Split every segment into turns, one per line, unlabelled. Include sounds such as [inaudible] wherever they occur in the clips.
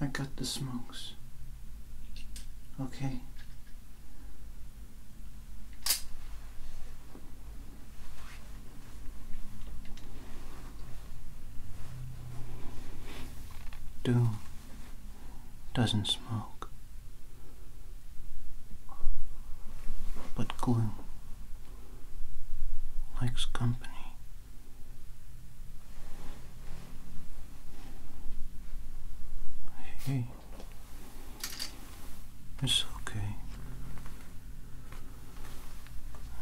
I got the smokes. Okay. Do doesn't smoke, but gloom likes company. Hey, it's okay.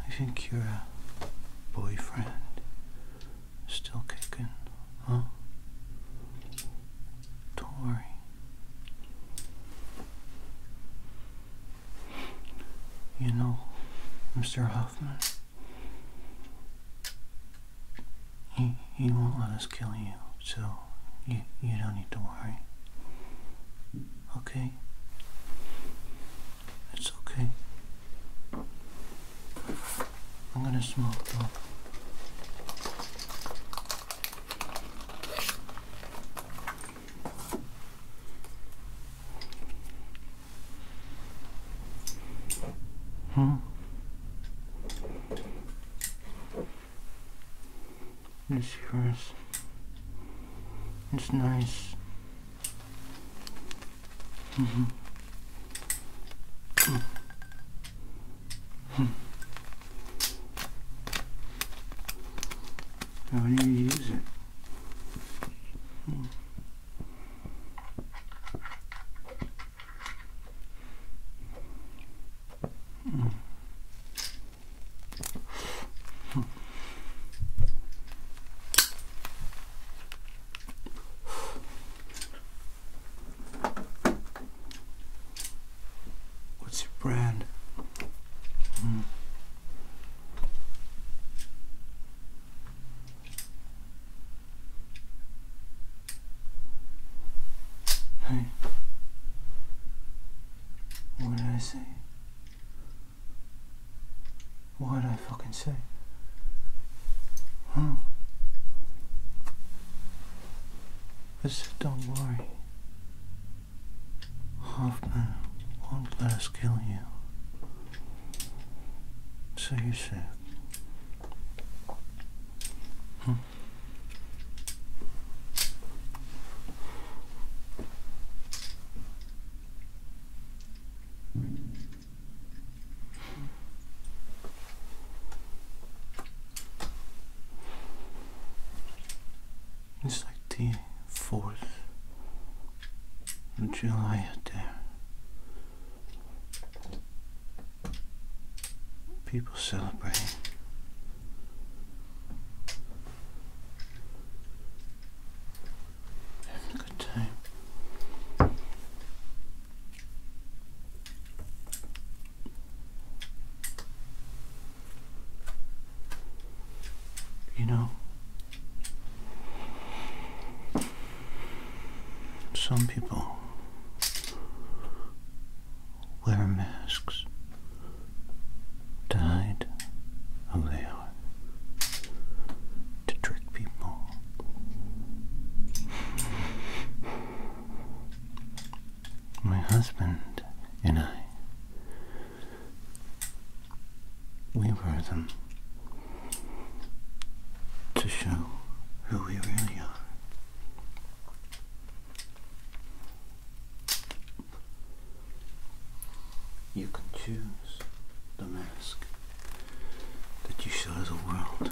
I think your uh, boyfriend still kicking, huh? do you know, Mr. Hoffman, he, he won't let us kill you, so you, you don't need to worry. Okay? It's okay. I'm gonna smoke Huh? Hmm. This yours. It's nice. Mm -hmm. Mm. Mm. How do you use it. What's your brand? Hmm. Hey. What did I say? What did I fucking say? Huh? said, don't worry. Hoffman won't let kill you. So you said. Hmm. It's like the 4th of July there. People celebrate. Having a good time. You know, some people wear masks to who they are, to trick people. My husband and I we wear them to show who we really are. You can choose the mask that you show the world.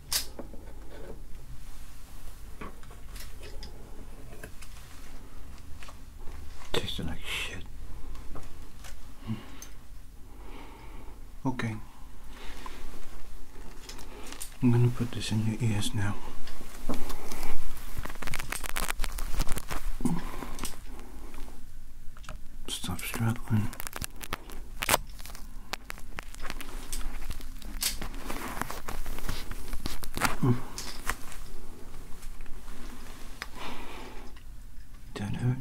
Tasting like shit. Okay. I'm gonna put this in your ears now. Stop struggling. Hmm. Don't hurt.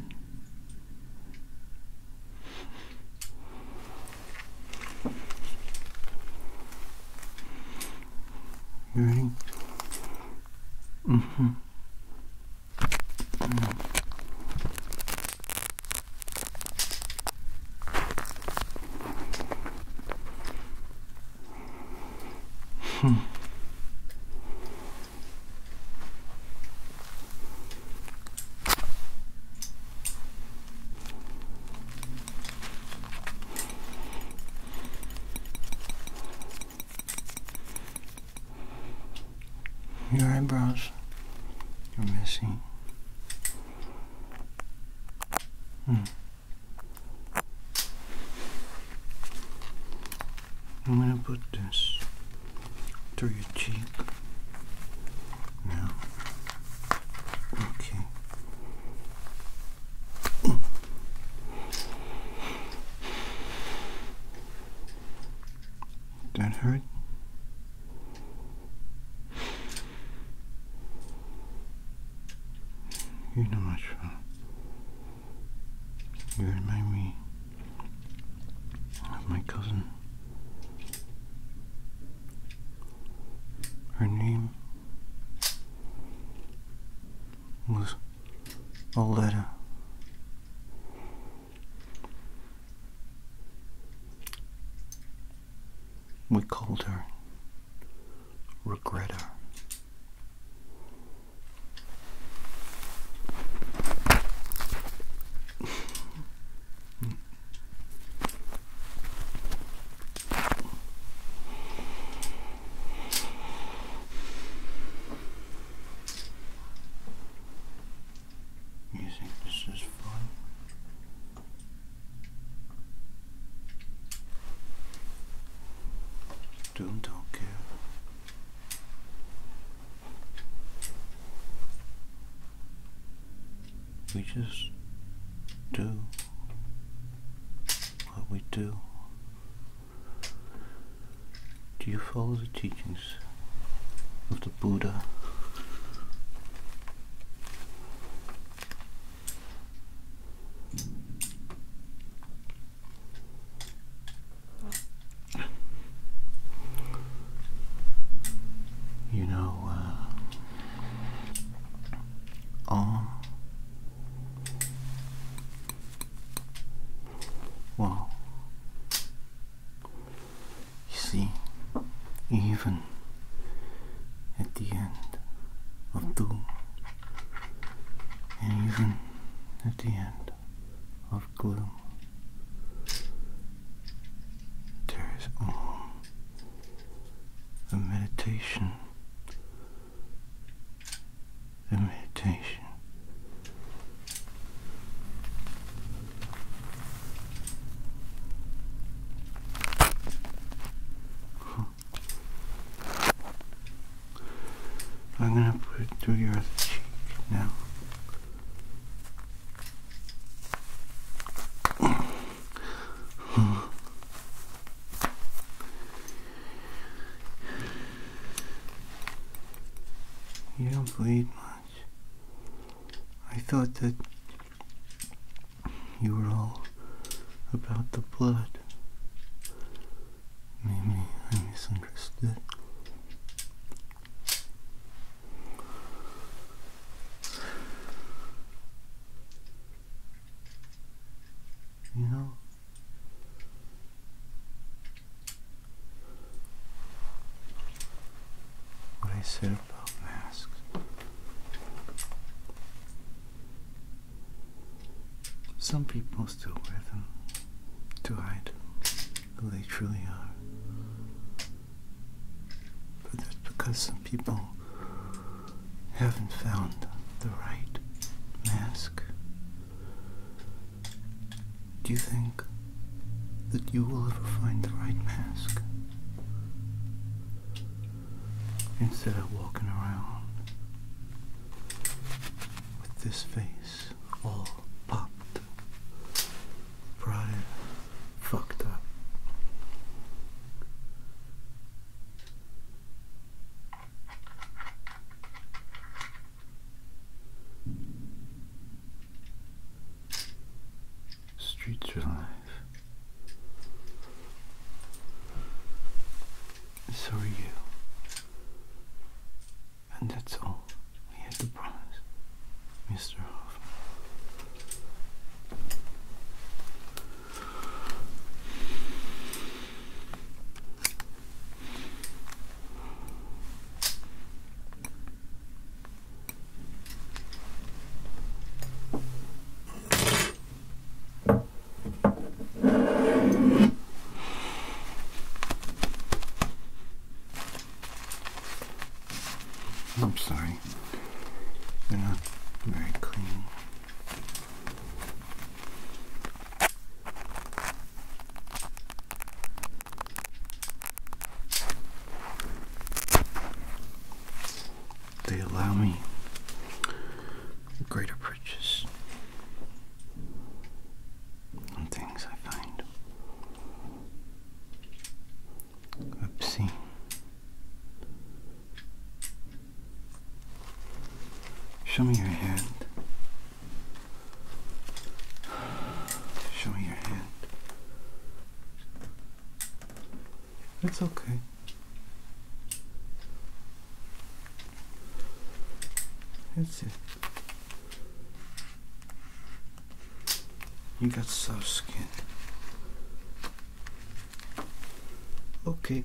you hmm Hmm. Your eyebrows, you're missing. Hmm. I'm going to put this to your cheek now. Okay. That hurt? You're not much fun. You remind me of my cousin. Her name was Oletta. We called her Regretter. You think this is fun? Don't care. We just do what we do. Do you follow the teachings of the Buddha? You know, uh, well, you see, even at the end of doom, and even at the end of gloom, there is all a meditation, a meditation. I'm going to put it to your cheek now. You don't bleed much. I thought that you were all about the blood. Maybe I misunderstood. You know, what I said some people still wear them to hide who they truly are. But that's because some people haven't found the right mask. Do you think that you will ever find the right mask. Instead of walking around with this face all popped, fried, fucked up. Streets are alive. So are you. And that's all we had to promise, Mr. Hoffman. I'm sorry, not very clean. They allow me greater purchase on things I find Oopsie. Show me your hand. Show me your hand. It's okay. That's it. You got soft skin. Okay.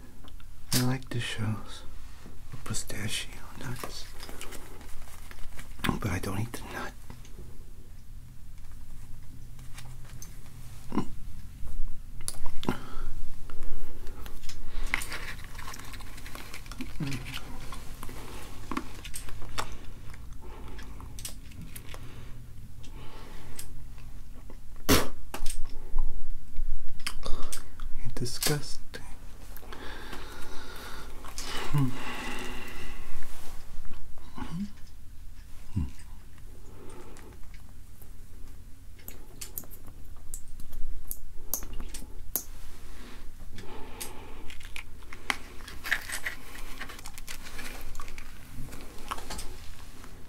I like the shells pistachio nuts, but I don't eat the nut. You're disgusting.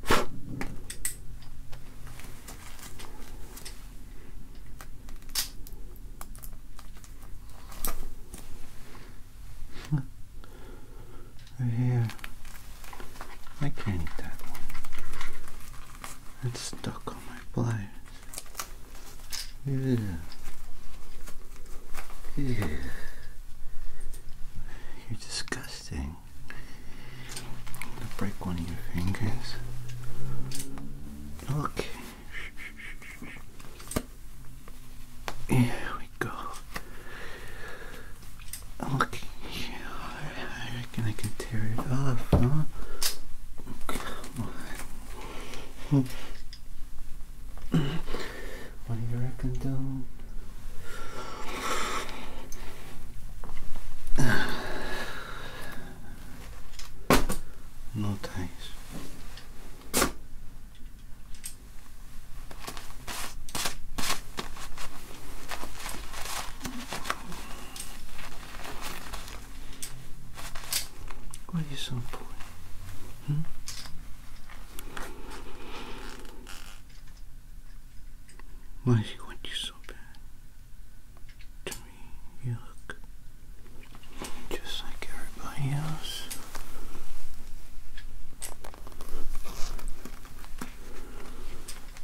right here. I can't eat that one. It's stuck on my pliers. Yeah. Yeah. You're disgusting. I'm gonna break one of your fingers. Okay. Here we go. Look I reckon I can tear it off, huh? Come one here I condone. No ties. Why are you so poor? Hmm? Why does he want you so bad? To me, you look just like everybody else.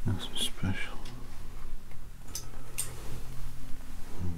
Nothing special. Hmm.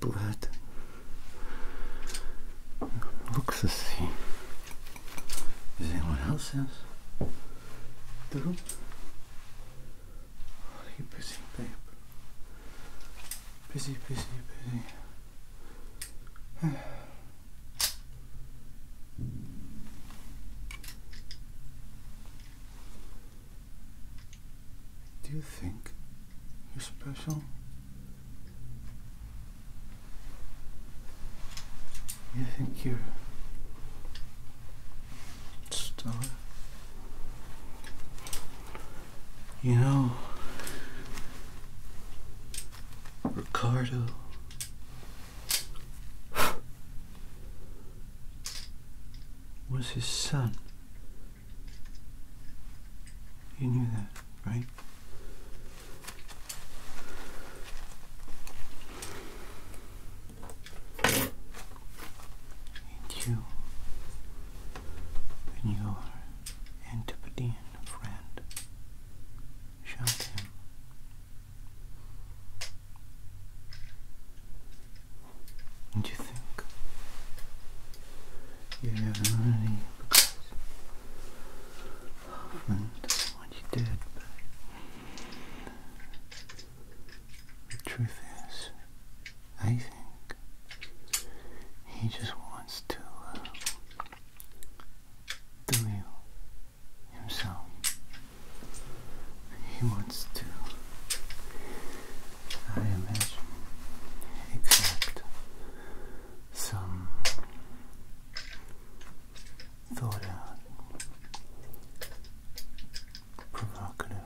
Blood looks the same as anyone else Do are you Busy, busy, busy. [sighs] Do you think you're special? You think you're a star? You know, Ricardo was his son. You knew that, right? you, and your Antipodean friend, shot him and you think you have only because Hoffman does you did, but the truth is, I think he just wants to uh, you himself. He wants to, I imagine, accept some thought out, provocative,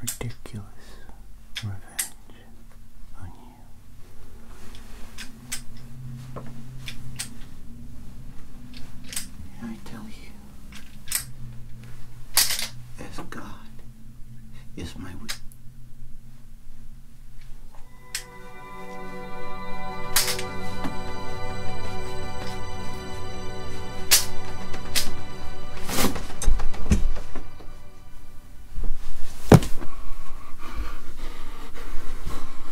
ridiculous revenge on you. I tell you, as God is my witness.